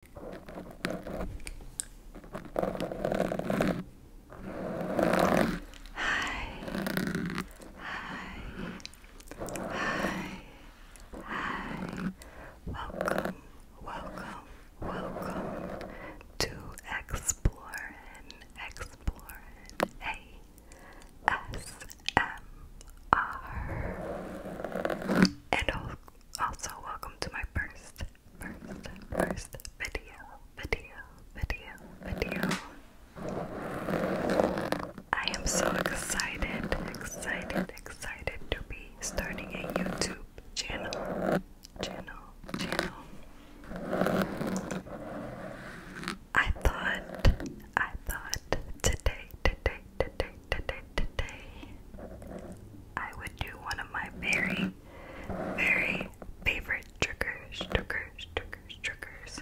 Hi. Hi. Hi. Hi. Welcome. Welcome. Welcome to Explorin. Explorin. A S M R. And of also, welcome to my first, first, first video, video, video, video. I am so excited, excited, excited to be starting a YouTube channel, channel, channel. I thought, I thought today, today, today, today, today, I would do one of my very, very favorite triggers, triggers, triggers, triggers,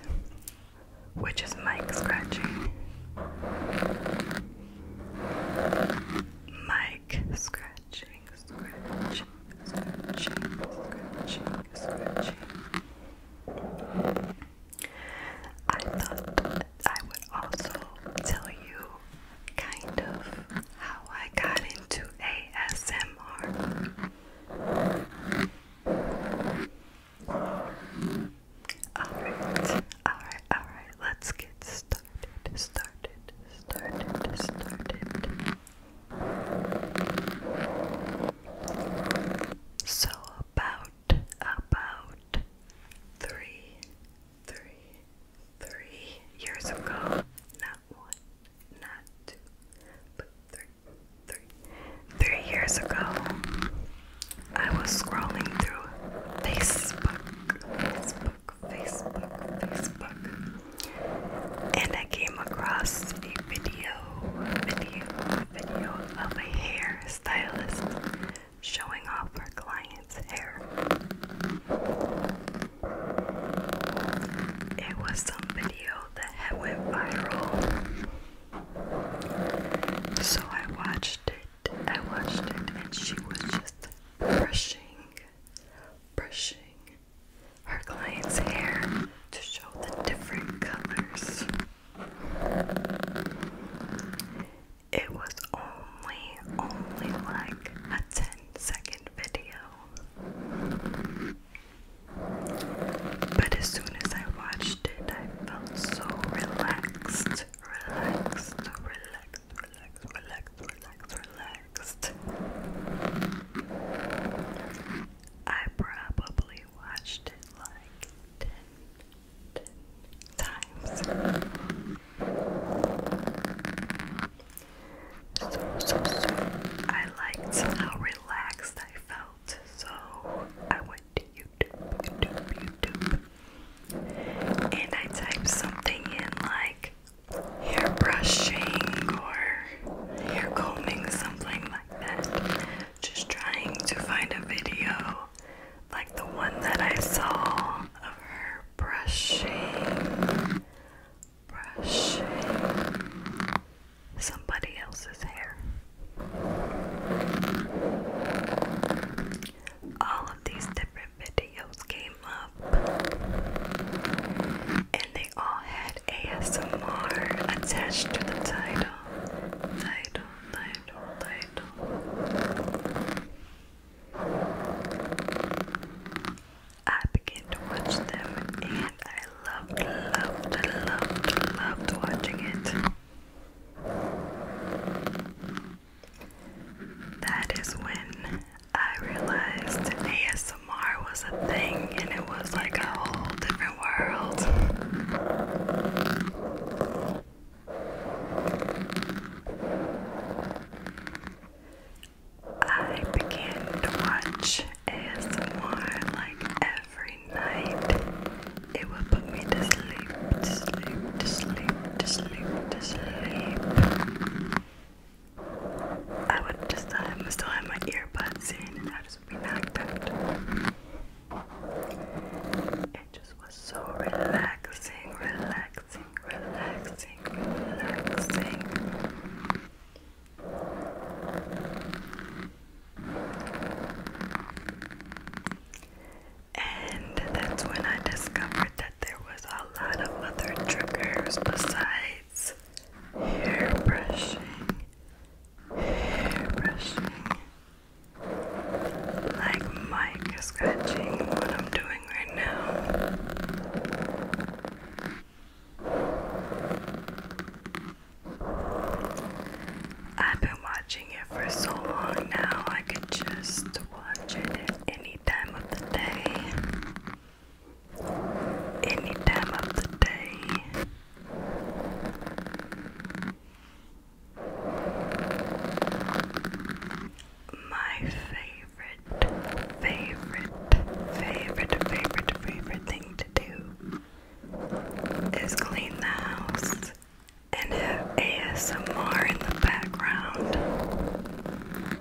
which is Mike scratching. Mic scratching, scratching, scratching, scratching, scratching. I thought I would also tell you kind of how I got into ASMR. Alright, alright, alright, let's get started, started, started, started. So, about, about three, three, three years ago. Not one, not two, but three, years ago, I was scrolling through Facebook, Facebook, Facebook, Facebook, and I came across a video, video, video of my hair stylist showing off her client's hair. It was some video that went viral. So I watched it. I watched it and she was just brushing, brushing her client's hair to show the different colors. It was only, only like a 10 second video. But as soon as I watched it, I felt so relaxed, relaxed, relaxed, relaxed, relaxed, relaxed, relaxed. I probably watched it like ten, ten times. So, so, so I liked how relaxed I felt, so I went to YouTube, YouTube, YouTube, and I typed something in like hair brushing or hair combing, something just trying to find a video like the one that I saw of her brushing, brushing somebody else's hair. All of these different videos came up, and they all had ASMR attached to the title. Title, title, title. I began to watch them and I loved, loved, loved, loved watching it. That is when I realized ASMR ASMR was a thing and it was like a whole different world. I began to watch ASMR like every night. It would put me to sleep, to sleep, to sleep, to sleep, to sleep. I would just I still have my earbuds in and I just be knocked out. It just was so relaxing, relaxing, relaxing, relaxing. And that's when I discovered that there was a lot of other triggers besides hair brushing, hair brushing, like Mike is scratching what I'm doing right now. I've been watching it for so long now, I could just watch it any time of the day any time of the day. My favorite, favorite, favorite, favorite, favorite thing to do is clean the house and have ASMR in the background.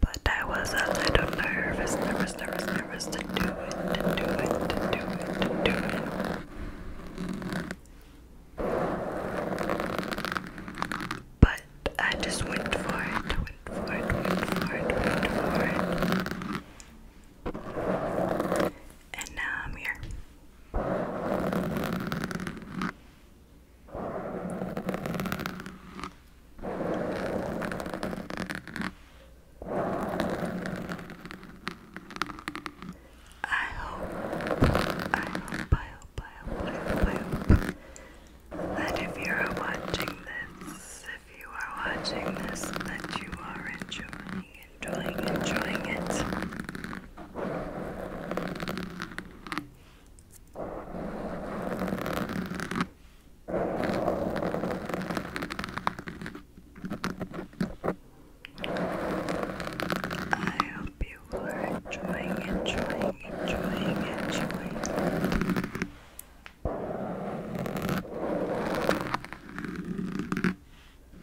But I was a uh, little nervous, nervous, nervous, nervous to do it, to do it, to do it, to do it. But I just went for it, went for it, went for it, went for it. And now I'm here. I hope, I hope, I hope, I hope, I hope, that if you are watching this, if you are watching this, that you are enjoying, enjoying, enjoying it. I hope you were enjoying, enjoying, enjoying, enjoying. I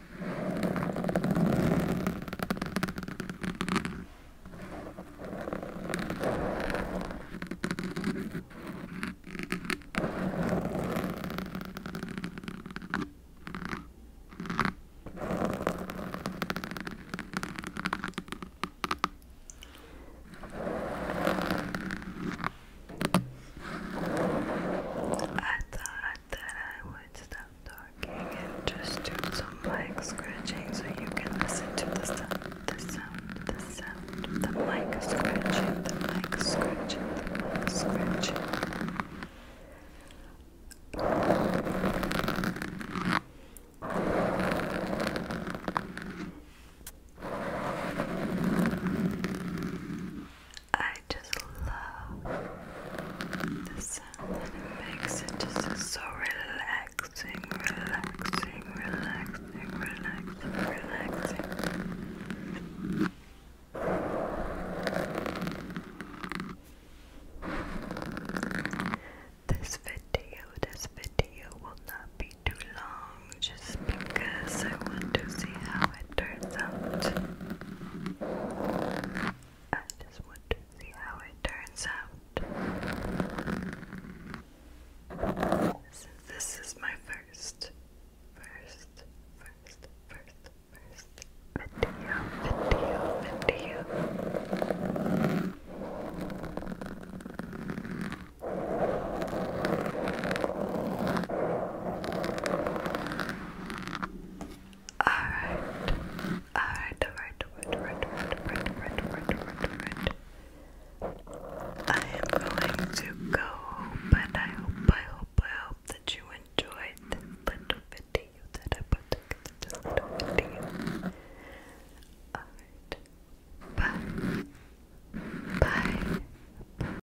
thought thought that I would stop talking and just do some mic scratching so you can listen to the sound, the sound, the sound, the mic scratching, the mic scratching, the mic scratching. I just love the sound that it makes. It just so relaxing, relaxing, relaxing, relaxing, relaxing. This video, this video will not be too long just because I want to see how turns out. I just want to see how it turns out. Since this is my first, first, first, first, first video, video, video. Alright. Alright, alright, alright, alright, alright, alright, alright, alright, I am going to go, but I hope, I hope, I hope that you enjoyed this little video that I put together, Alright. Bye. Bye.